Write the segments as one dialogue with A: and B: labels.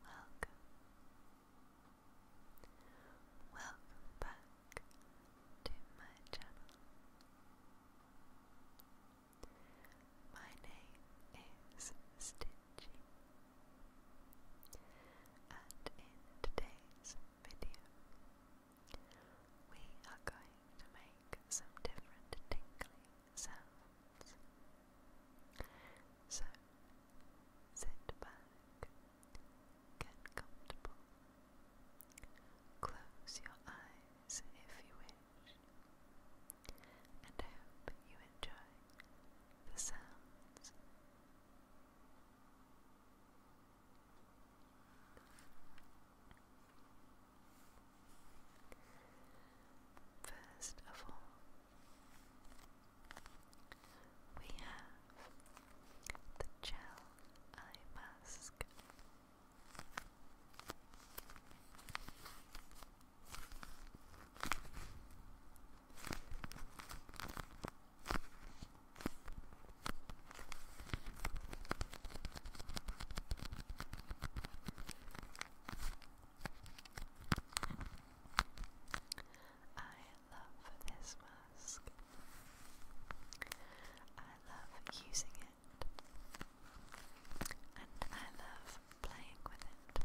A: Welcome. Welcome back to my channel. My name is Stitchy, and in today's video, we are going to make some different tingly sounds. So, sit back, get comfortable, close your eyes if you wish, and I hope you enjoy the sounds. First of all, we have the gel eye mask.
B: I love this mask. I love using it. And I love playing with it.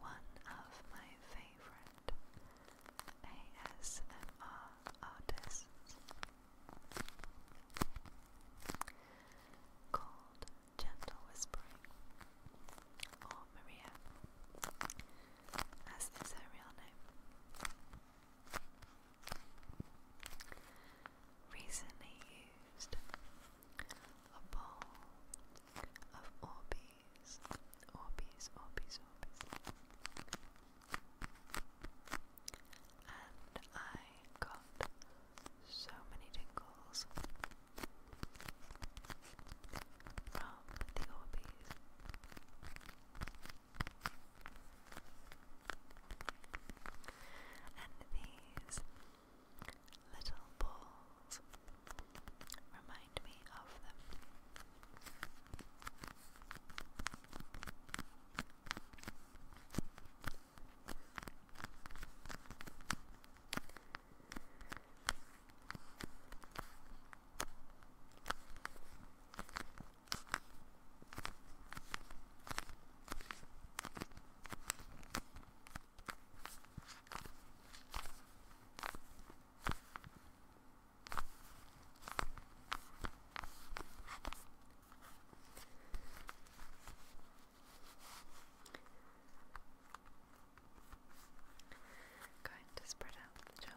B: One of my favorite ASMR artists
A: called Gentle Whispering Maria, as is her real name. Recently used a bowl of Orbeez, Orbeez, Orbeez, Orbeez. And I got so many tingles from the Orbeez. And these little balls remind me of them. Going to spread out the gel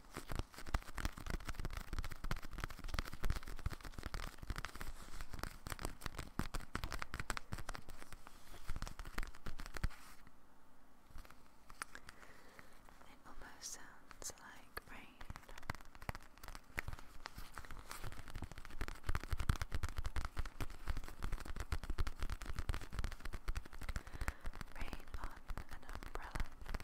A: It almost sounds like rain. Rain on an umbrella.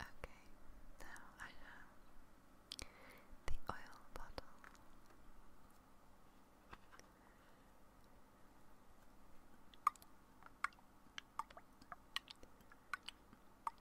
A: Okay, now I have the oil bottle.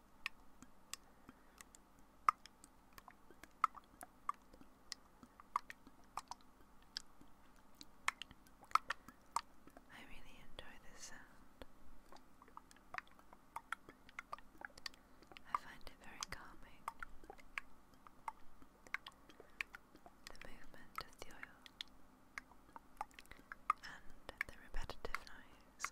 A: I really enjoy this sound. I find it very calming. The movement of the oil and the repetitive noise.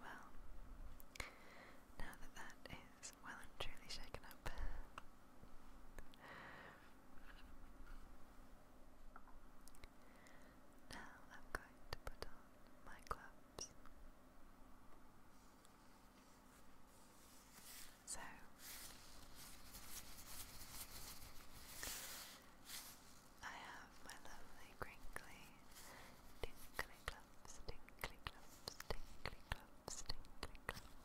A: Well, now that that is well and truly shaken up, now I'm going to put on my gloves. So, I have my lovely crinkly tinkly gloves, tinkly gloves, tinkly gloves, tinkly gloves.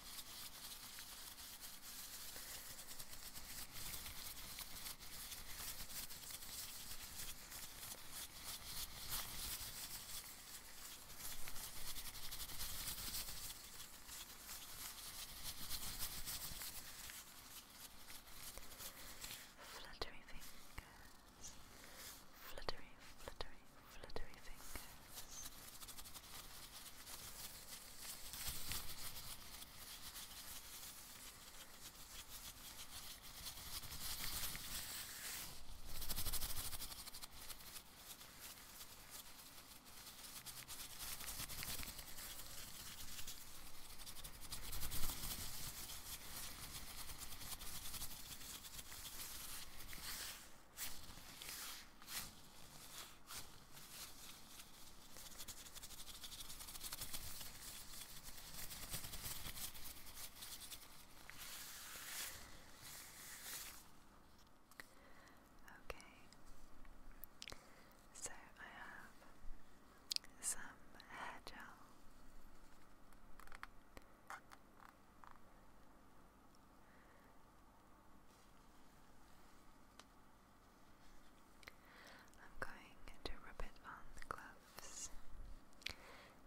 A: Fluttery fingers, fluttery, fluttery, fluttery fingers. Okay, so I have some hair gel. I'm going to rub it on the gloves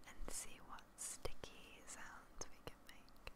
A: and see what sticky sounds we can make.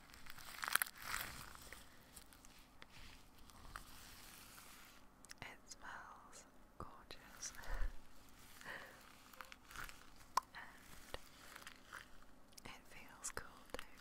A: It smells gorgeous. it feels cool too.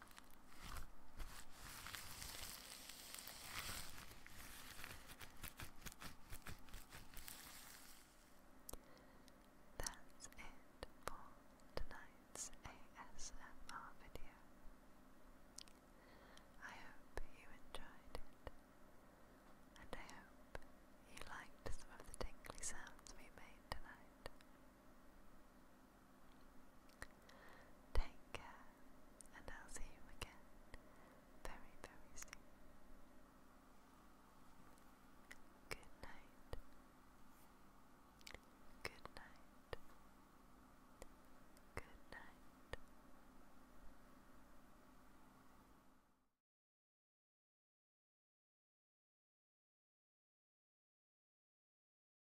A: That's it for tonight's ASMR video. I hope you enjoyed it, and I hope you liked some of the tingly sounds we made tonight. Take care, and I'll see you again very, very soon. Good night. Good night. Good night.